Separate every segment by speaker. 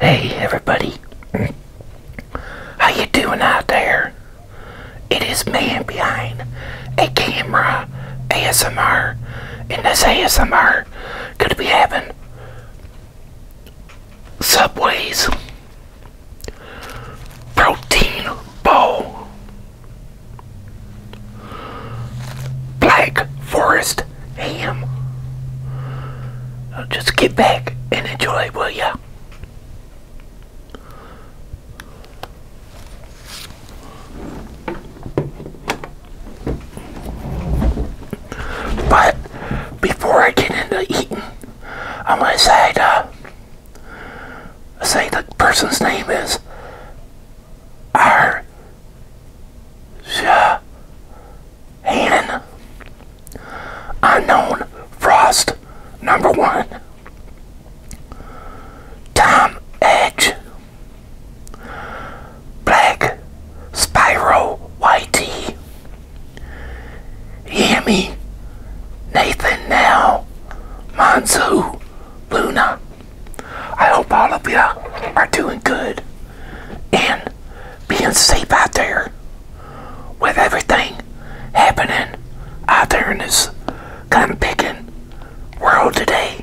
Speaker 1: Hey everybody, how you doing out there? It is man behind a camera ASMR, and this ASMR gonna be having Subway's protein bowl, black forest West Ham. Just get back and enjoy, will ya? But before I get into eating, I'm gonna say the say the person's name is R Shahan. Unknown Frost, number one. Tom Edge. Black Spyro YT. Yami. Nathan Now. Manzu, Luna. I hope all of you are doing good and being safe out there with everything happening out there in this gun picking world today.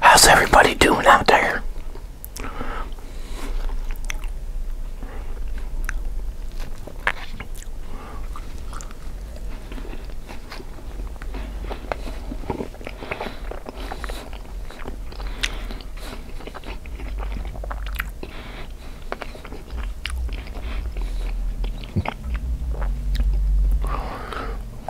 Speaker 1: How's everybody doing out there?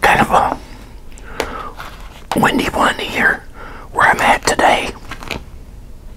Speaker 1: Kind of windy one here where I'm at today.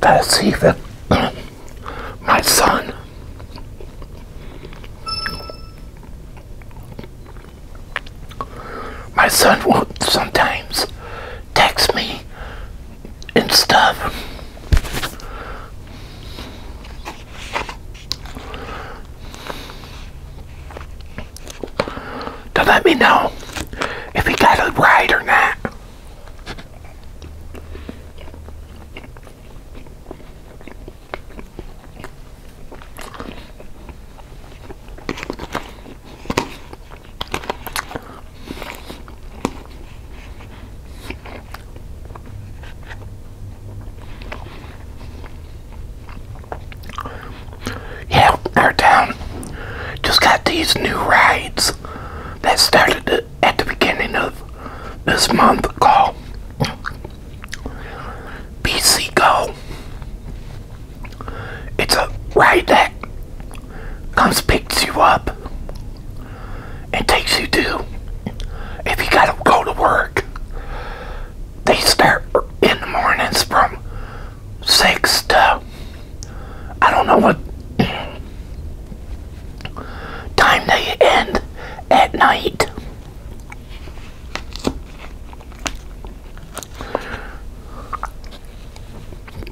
Speaker 1: That's even my son. My son will sometimes text me and stuff. To let me know if he got it right or not. Yeah, our town just got these new rides that started at the beginning of this month called P C Go. It's a ride that comes picks you up and takes you to if you gotta go to work they start in the mornings from six to I don't know what time they end at night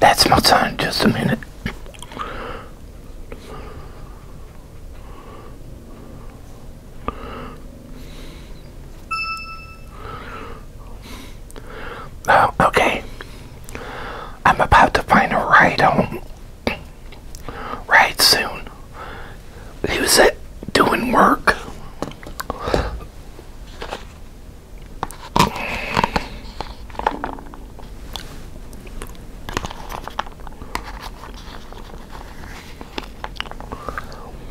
Speaker 1: That's my son, just a minute. Oh, okay. I'm about to find a ride home. Right soon. He was doing work.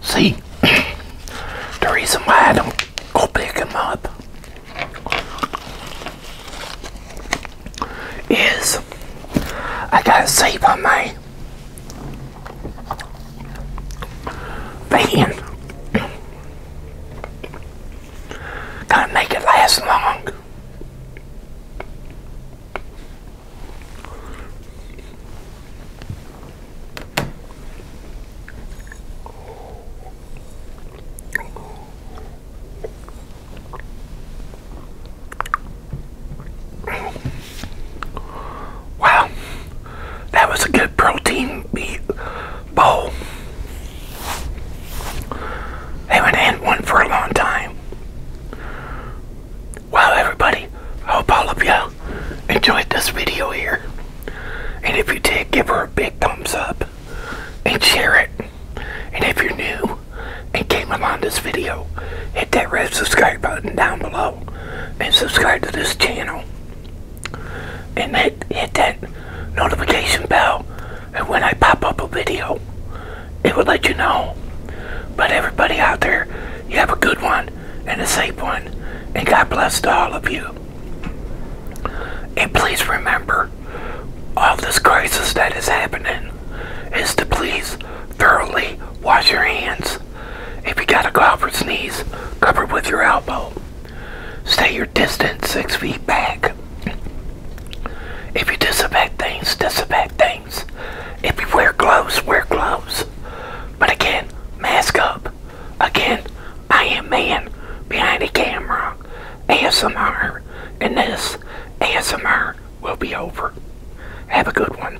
Speaker 1: See, the reason why I don't go pick them up is I gotta save on my van. Gonna make it last long. Wow, that was a good protein meat bowl. Haven't had one for a long time. Wow, everybody, I hope all of you enjoyed this video here. And if you did, give her a big thumbs up and share it. And if you're new and came along this video, hit that red subscribe button down below and subscribe to this channel and hit, hit that notification bell and when I pop up a video it will let you know but everybody out there you have a good one and a safe one and God bless to all of you and please remember all this crisis that is happening is to please thoroughly wash your hands if you got to go out for sneeze, cover with your elbow. Stay your distance six feet back. If you disinfect things, disinfect things. If you wear gloves, wear gloves. But again, mask up. Again, I am man behind the camera. ASMR. And this ASMR will be over. Have a good one.